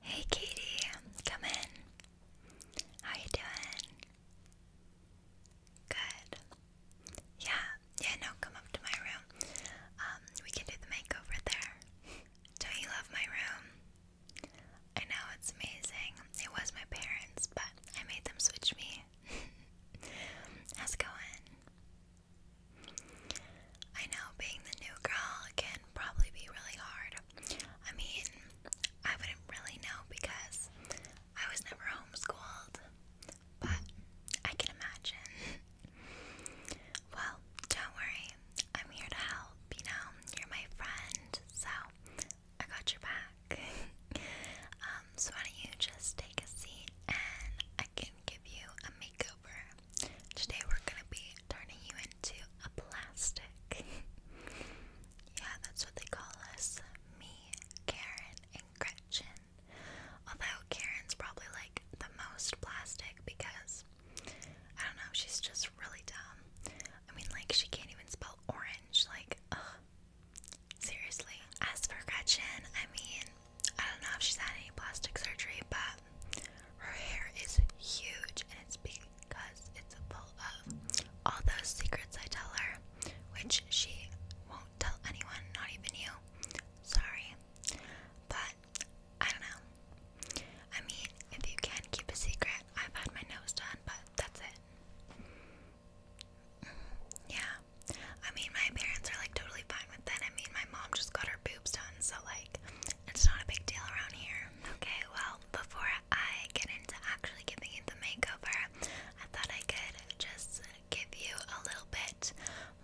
Hey Katie, come in. How you doing? Good. Yeah, yeah, no, come up to my room. Um, we can do the makeover there. Don't you love my room? I know it's amazing. It was my parents, but I made them switch me. How's it going? I know being the new girl can probably be really hard. I mean, I wouldn't really know because I was never homeschooled, but I can imagine. well, don't worry, I'm here to help. You know, you're my friend, so I got your back. Um, so why don't you just take a seat and I can give you a makeup Today we're gonna be turning you into a plastic. yeah, that's what they call us. Me, Karen, and Gretchen. Although Karen's probably like the most plastic because I don't know, she's just really dumb. I mean, like, she can't even spell orange. Like, Seriously. As for Gretchen, I mean, I don't know if she's had any plastic surgery, but her hair is huge, and it's because it's full of all those secrets I tell her, which she won't tell anyone, not even you. Sorry. But I don't know. I mean, if you can keep a secret, I've had my nose done, but that's it. Mm-hmm. Yeah. I mean, my parents are like totally fine with that. I mean, my mom just got her boobs done, so like, it's not a big deal around here. Okay, well, before I get into actually giving you the makeover, I thought I could just give you a little bit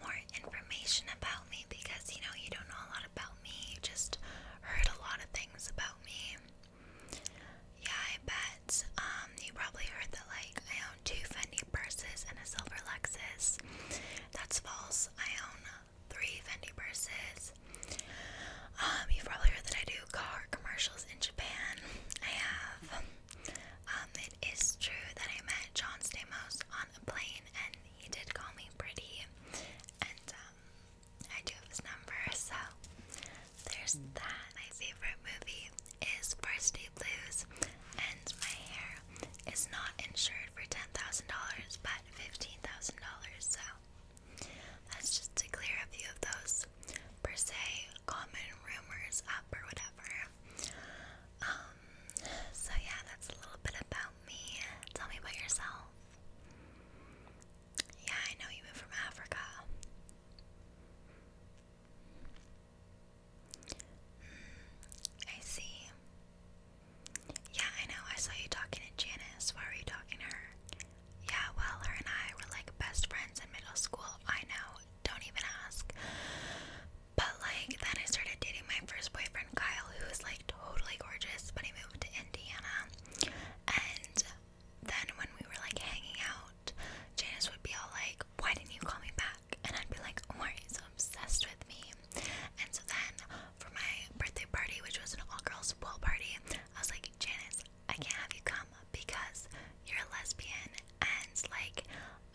more information about me because you know you don't know a lot about me. You just heard a lot of things about me. Yeah, I bet. Um, you probably heard that like I own two Fendi purses and a silver Lexus. That's false. I own three Fendi purses. Um, you've probably heard that I do car commercials in Japan. I have. Um, it is true that I met John Stamos on a plane, and he did call me pretty, and um, I do have his number. So there's that. My favorite movie is Varsity Blues, and my hair is not insured for ten thousand dollars, but $15,000. So that's just to clear a few of those per se common rumors up or whatever. Um, so yeah, that's a little bit about me. Tell me about yourself. Yeah, I know you moved from Africa. Hmm, I see. Yeah, I know. I saw you talking to Janice. Why were you talking to her? Yeah, well, her and I were like best friends in middle school. I know. Don't even ask. But like, then I started dating my first boyfriend, Kyle, who was like totally gorgeous, but he moved to Indiana. And then when we were like hanging out, Janice would be all like, Why didn't you call me back? And I'd be like, Omar oh, is obsessed with me. And so then for my birthday party, which was an all girls pool party, I was like, Janice, I can't have you come because you're a lesbian and like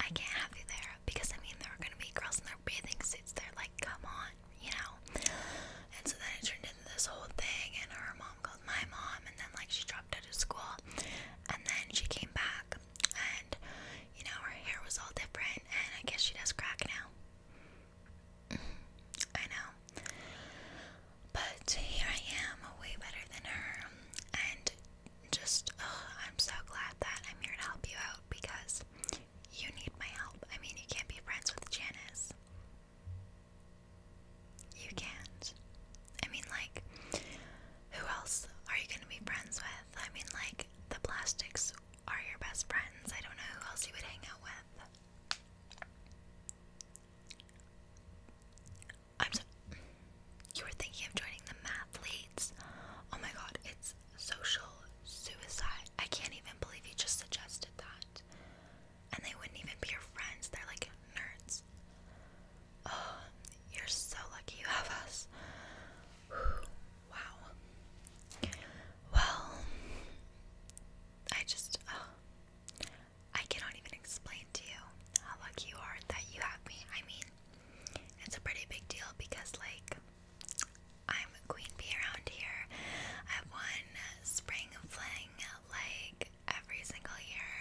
I can't have you there because I mean there were gonna be girls in their bathing suits. They're like, come on, you know. And so then it turned into this whole thing, and her mom called my mom, and then like she dropped out of school, and then she came back and you know her hair was all different, and I guess she does crack now. Mm-hmm. I know, but here I am, way better than her, and just I'm so glad that I'm here to help you out because you need my help. I mean, you can't be friends with Janice. You can't. I mean, like, who else are you gonna be friends with? I mean, like, the plastics are your best friends. I don't know who else you would hang out with. I'm so. You were thinking of joining the mathletes? Oh my god, it's social suicide. I can't even believe you just suggested that. And they wouldn't even be your friends, they're like nerds. Oh, you're so lucky you have us. Wow. Well, I just, I cannot even explain to you how lucky you are that you have me. I mean, it's a pretty big deal because, like, I'm a queen bee around here. I have won Spring Fling like every single year.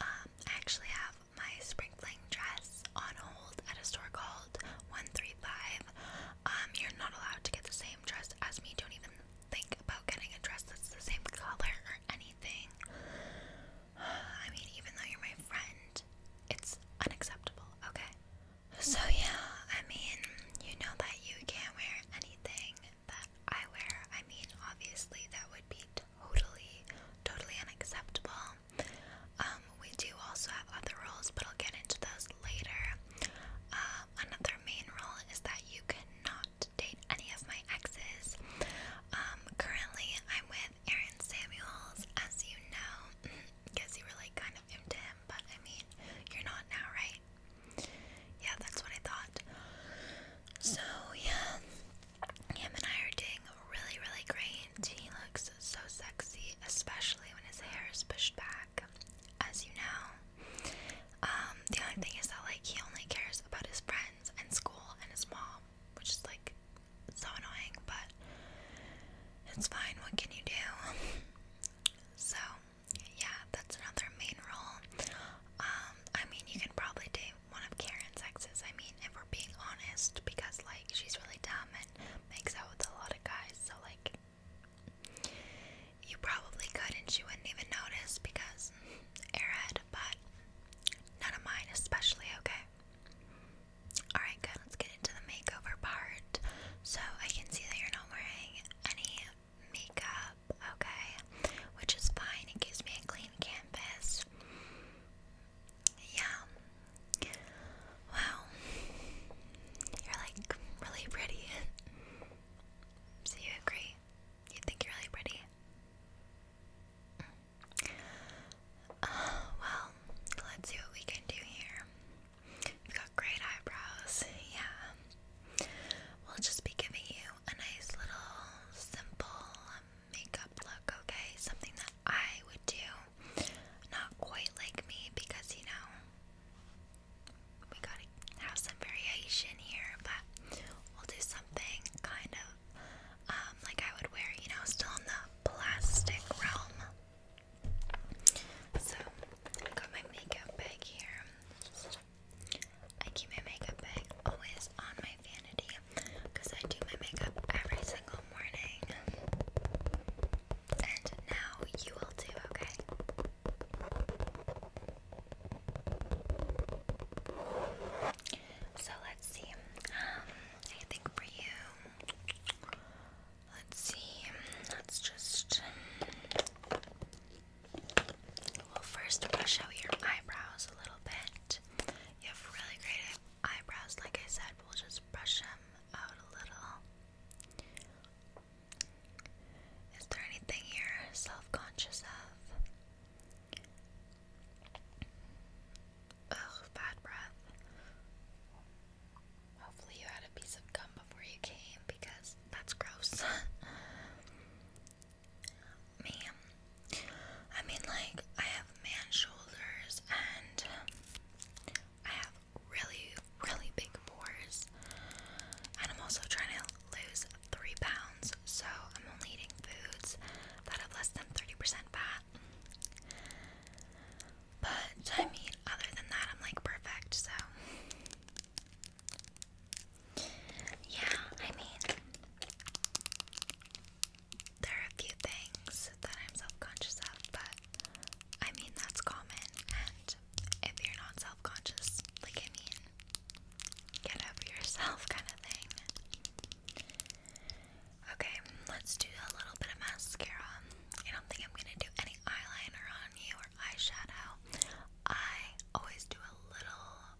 Um, I actually have my spring fling dress on hold at a store called 135. Um, you're not allowed to get the same dress as me. Don't even think about getting a dress that's the same color or anything. I mean, even though you're my friend, it's unacceptable, okay? So, yeah, I mean, you know that you can't wear anything that I wear. I mean, obviously, that would be totally, totally unacceptable. Um, we do also have other rules, but I'll get into those later. Uh, another main rule is that you cannot date any of my exes. Um, currently, I'm with Aaron Samuels, as you know, because you were like kind of into him, but I mean, you're not now, right? Yeah, that's what I thought. So, yeah, him and I are doing really, really great. He looks so sexy, especially when his hair is pushed back, as you know. Um, the only thing is that like he only cares about his friends and school and his mom, which is like so annoying, but it's fine, what can you do? so yeah, that's another main role. Um, I mean you can probably date one of Karen's exes. I mean mean, if we're being honest, because like she's really dumb and makes out with a lot of guys, so like you probably could and she wouldn't even notice because airhead, but none of mine, especially, okay? Alright, good, let's get into the makeover part. So I can see that you're not wearing any makeup, okay? Which is fine, it gives me a clean canvas. Yeah. Wow. You're like really pretty. so you agree? You think you're really pretty? Uh, well, let's see what we can do here. You've got great eyebrows, yeah. We'll just be giving you a nice little simple um, makeup look, okay? Something that I would do. Not quite like me because, you know, we gotta have some variation here, but we'll do something kind of um, like I would wear, you know, still in the plastic realm. So, got my makeup bag here. I keep my makeup bag always on my vanity because I do my makeup every single morning. And now you will do. okay? So let's see. Um, I think for you, let's see. Let's just. We'll first brush out your eyebrows a little bit. You have really great eyebrows, like I said, we'll just brush them out a little. Is there anything you're self conscious of? Ugh, bad breath. Hopefully, you had a piece of gum before you came because that's gross. Ma'am, I mean, like, I have man shoulders and I have really, really big pores. And I'm also trying to lose three pounds, so I'm only eating foods that have less than 30% fat. But I mean, other than that, I'm like perfect, so. Yeah, I mean, there are a few things that I'm self conscious of, but I mean, that's common. And if you're not self conscious, like, I mean, get over yourself kind of thing. Okay, let's do a little bit of mascara. I don't think I'm gonna do any eyeliner on you or eyeshadow. I always do a little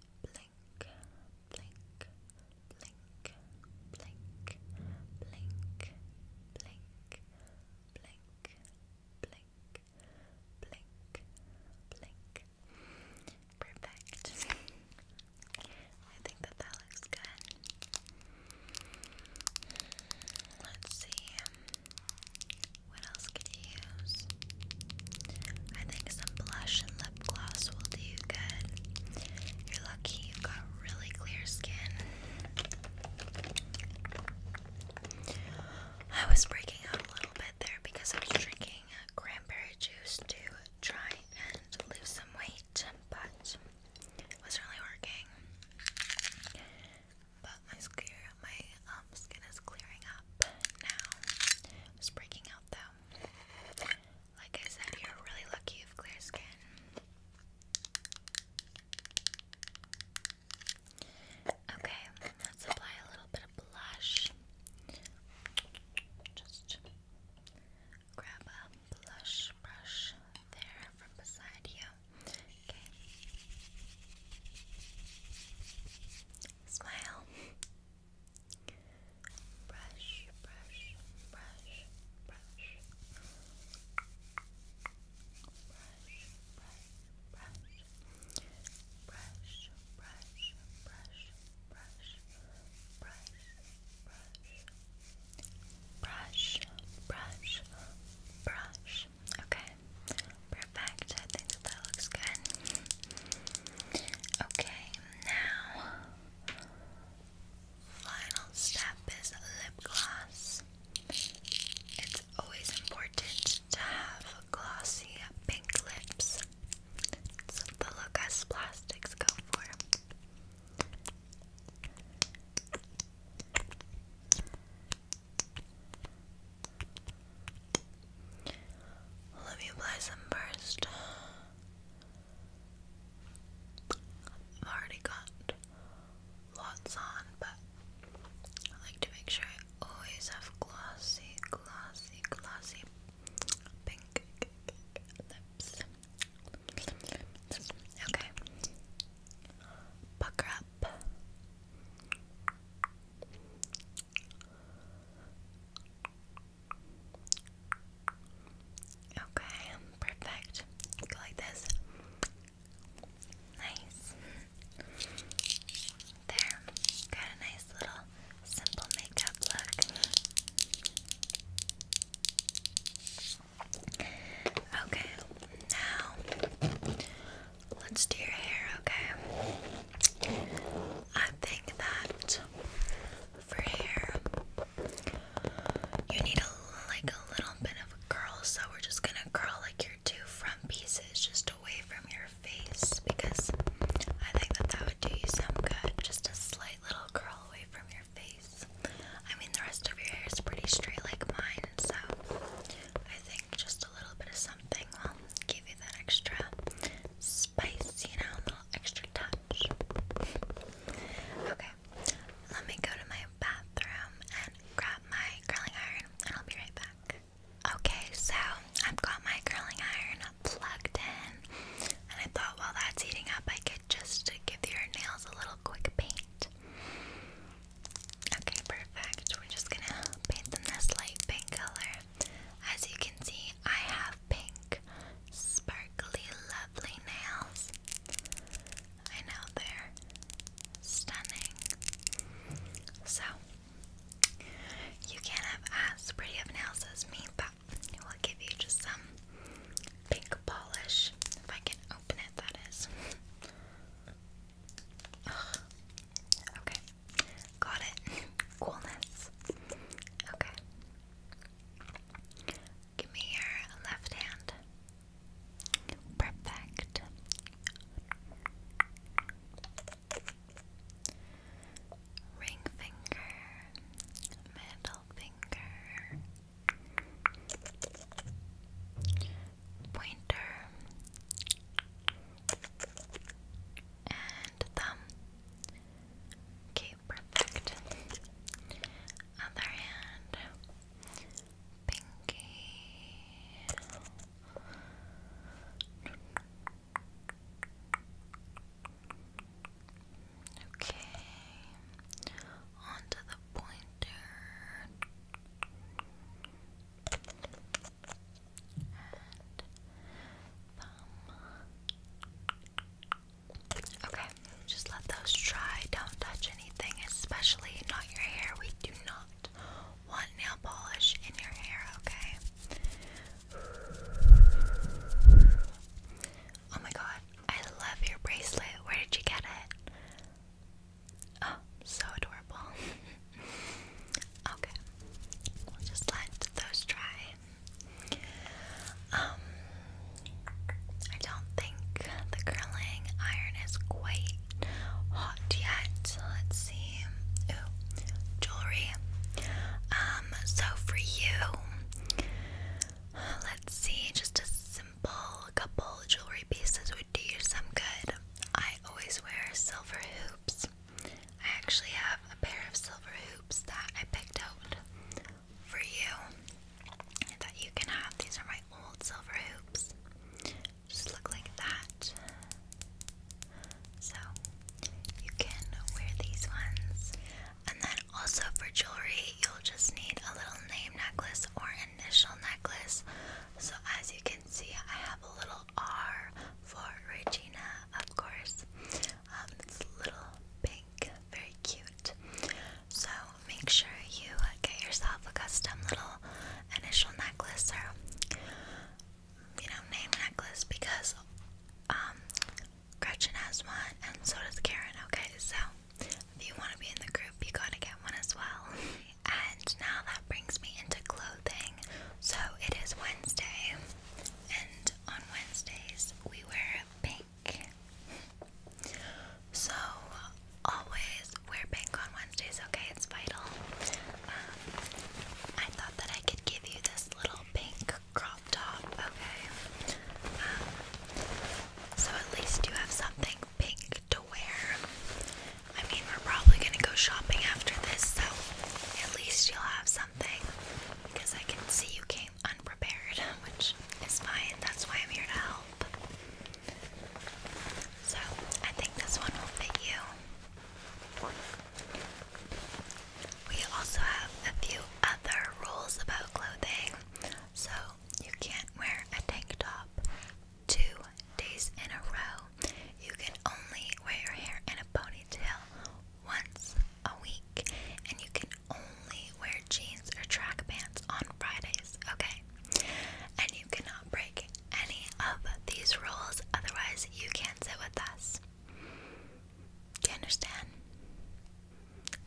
blink, blink, blink, blink, blink, blink, blink, blink, blink, blink. Perfect. I think that that looks good. Let's see. What else could you use? I think some blush and lip gloss will do you good. You're lucky you've got really clear skin. I was breaking out a little bit there because I was drinking cranberry juice to try and lose some weight, but it wasn't really working. But my skin, my um, skin is clearing up now. It's breaking out though. Like I said, you're really lucky you clear skin. Okay, let's apply a little bit of blush. Just grab a blush brush there from beside you. Okay. Smile. Brush, brush, brush, brush. Brush, brush, brush. Brush, brush, brush, brush. Brush, brush. Brush, brush, brush. Okay, perfect. I think that, looks good. Okay, now final step is lip gloss. It's always important to have glossy pink lips. It's the look us plastics go for let me apply some first. I've already got lots on, but I like to make sure I always have glossy, glossy, glossy pink lips. Okay. Pucker up. Okay, perfect. Go like this. Nice. There. Got a nice little simple makeup look. Okay, now Let's do your hair, okay? I think that for hair, you need a, like a little bit of a curl, so we're just gonna curl like your two front pieces just away from your face because I think that that would do you some good. Just a slight little curl away from your face. I mean, the rest of your hair is pretty straight like mine, so I think just a little bit of something will give you that extra spice, you know, little extra touch. Okay, let me go to my bathroom and grab my curling iron, and I'll be right back. Okay, so I've got my curling iron plugged in, and I thought while that's heating up, I could just give your nails a little quick paint. Okay, perfect. We're just gonna paint them this light pink color. As you can see, I have pink, sparkly, lovely nails. I know they're stunning. So, you can't have as pretty of nails as me, but we'll give you just some pink polish. If I can open it, that is. Okay. Got it. Coolness. Okay. Give me your left hand. Perfect. Ring finger, middle finger, pointer, and thumb. Okay, perfect. Other hand, pinky. Okay, onto the pointer. Okay, just let those dry. Don't touch anything, especially not your hair. We do not want nail polish in your hair, okay? Oh my god, I love your bracelet. Where did you get it? Oh, so adorable. okay, we'll just let those dry. Um, I don't think the curling iron is quite hot yet. Let's see. Ooh, jewelry. Um, so for you, let's see, just a simple couple jewelry pieces would do you some good. I always wear silver hoops. I actually have a pair of silver hoops that I picked out for you that you can have. These are my old silver hoops. Just look like that. So you can wear these ones. And then also for jewelry, you'll just need a little name necklace or initial necklace. So, as you can see, I have a little R for Regina, of course. Um, it's little pink, very cute. So, make sure you get yourself a custom little initial necklace or, you know, name necklace because um, Gretchen has one and so does Karen, okay? So, if you want to be in the group, you gotta get one as well. And now that brings me into clothing. So it is Wednesday, and on Wednesdays we wear pink. So always wear pink on Wednesdays, okay? It's vital. Um, I thought that I could give you this little pink crop top, okay? Um, so at least you have something pink to wear. I mean, we're probably gonna go shopping after this, so at least you'll have something. Because I can see you came unprepared, which is fine. That's why I'm here to help. So I think this one will fit you. We also have a few other rules about clothing. So you can't wear a tank top, two days in a row. You can only wear your hair in a ponytail once a week, and you can only wear jeans or track pants on Fridays, okay? And you cannot break any of these rules, otherwise, you can't sit with us. Do you understand?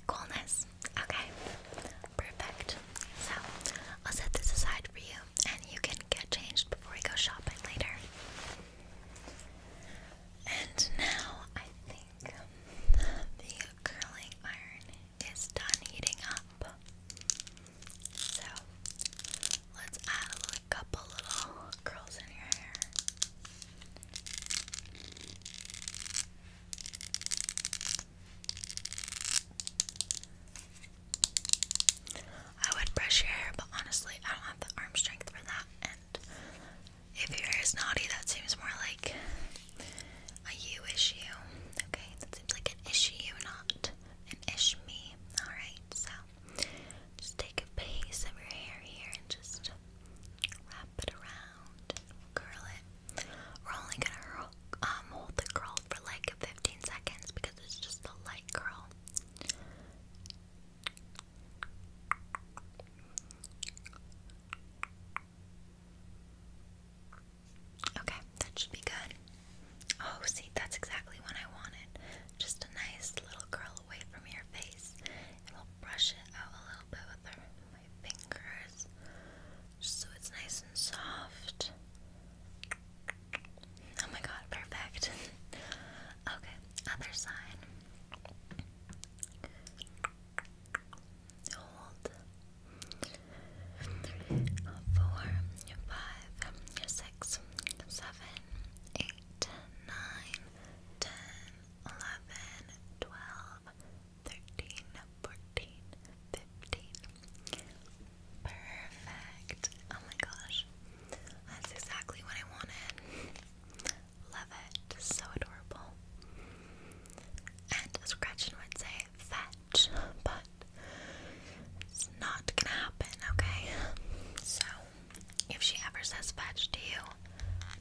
Coolness. Okay, perfect. So I'll set this aside for you, and you can get changed before we go shopping later. And now I think the curling iron is done heating up. So let's add a couple little curls in your hair. I would brush your hair, but honestly, I don't have the arm strength for that. And if your hair is naughty, that seems more like a you issue. Okay, that seems like an issue, not an ish me. Alright, so just take a piece of your hair here and just wrap it around, and curl it. We're only gonna um, hold the curl for like 15 seconds because it's just a light curl. Okay, that should be good. Oh, see, that's exactly what I wanted. Just a nice little curl away from your face. And we'll brush it out a little bit with our my fingers just so it's nice and soft. Oh my god, perfect. okay, other side. Hold. Four, five, six, seven, eight, nine, ten, eleven, twelve, thirteen, fourteen, fifteen. Perfect. Oh my gosh. That's exactly what I wanted. Love it. So adorable. And as Gretchen would say, fetch, but it's not gonna happen, okay? So, if she ever says fetch to you,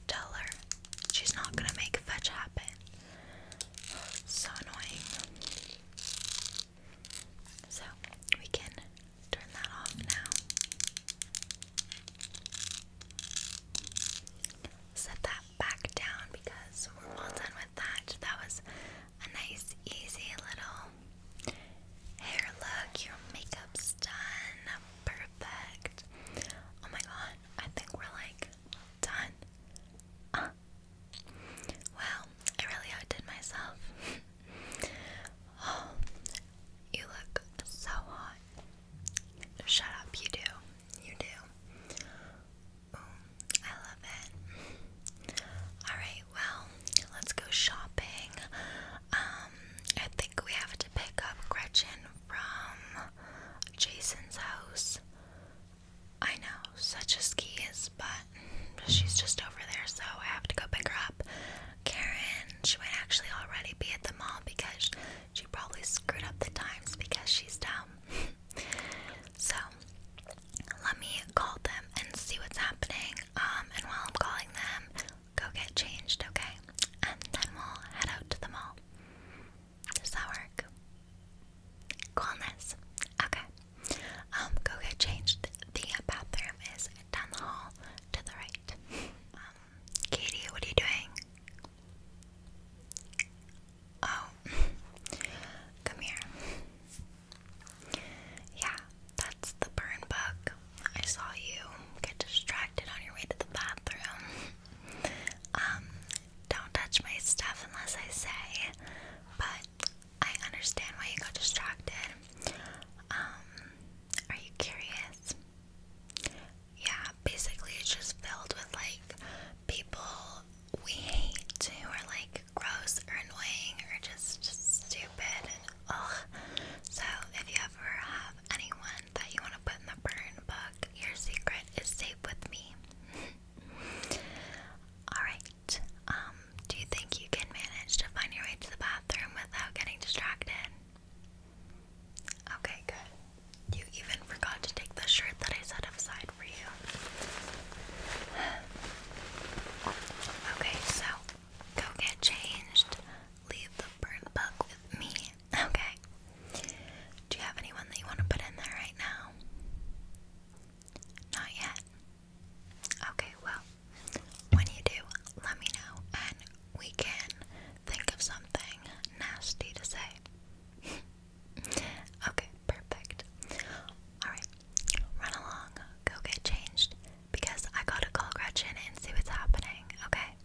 tell her she's not gonna make fetch happen. So annoying. So we can turn that off now. Set that back down because we're all done with that. That was a nice, easy little hair look. Your makeup's done. Perfect. Oh my god, I think we're like done. Ah. Well, I really outdid myself. oh, you look so hot. Shut up, you do. You do. I love it. Alright, well, let's go shopping. Um, I think we have to pick up Gretchen from Jason's house. I know, such a skis, but she's just over there, so I have to go pick her up. Karen, she might actually already be at the mall because she probably screwed up the times because she's dumb. so, let me call them and see what's happening. Um, and while I'm calling them, go get changed, okay? And then we'll head out to the mall. Does that work? Coolness. Okay. Um, go get changed. The bathroom is down the hall to the right. Um, Katie, what are you doing? Oh, come here. Yeah, that's the burn bug. I saw you get distracted on your way to the bathroom. Um, don't touch my stuff unless I say, but I understand why you got distracted. Um, are you curious? Yeah, basically it's just filled with like people we hate who are like gross or annoying or just, stupid and ugh. So if you ever have anyone that you want to put in the burn book. Your secret is safe with me. Alright, um, do you think you can manage to find your way to the bathroom without getting distracted? Okay, good. You even forgot to take the shirt that I set aside for you. Okay, so go get changed, leave the burn book with me, Okay. Do you have anyone that you want to put in there right now? Not yet. Okay, well, when you do, let me know and we can think of something nasty to say. okay, perfect. Alright, run along, go get changed because I gotta call Gretchen and see what's happening, okay?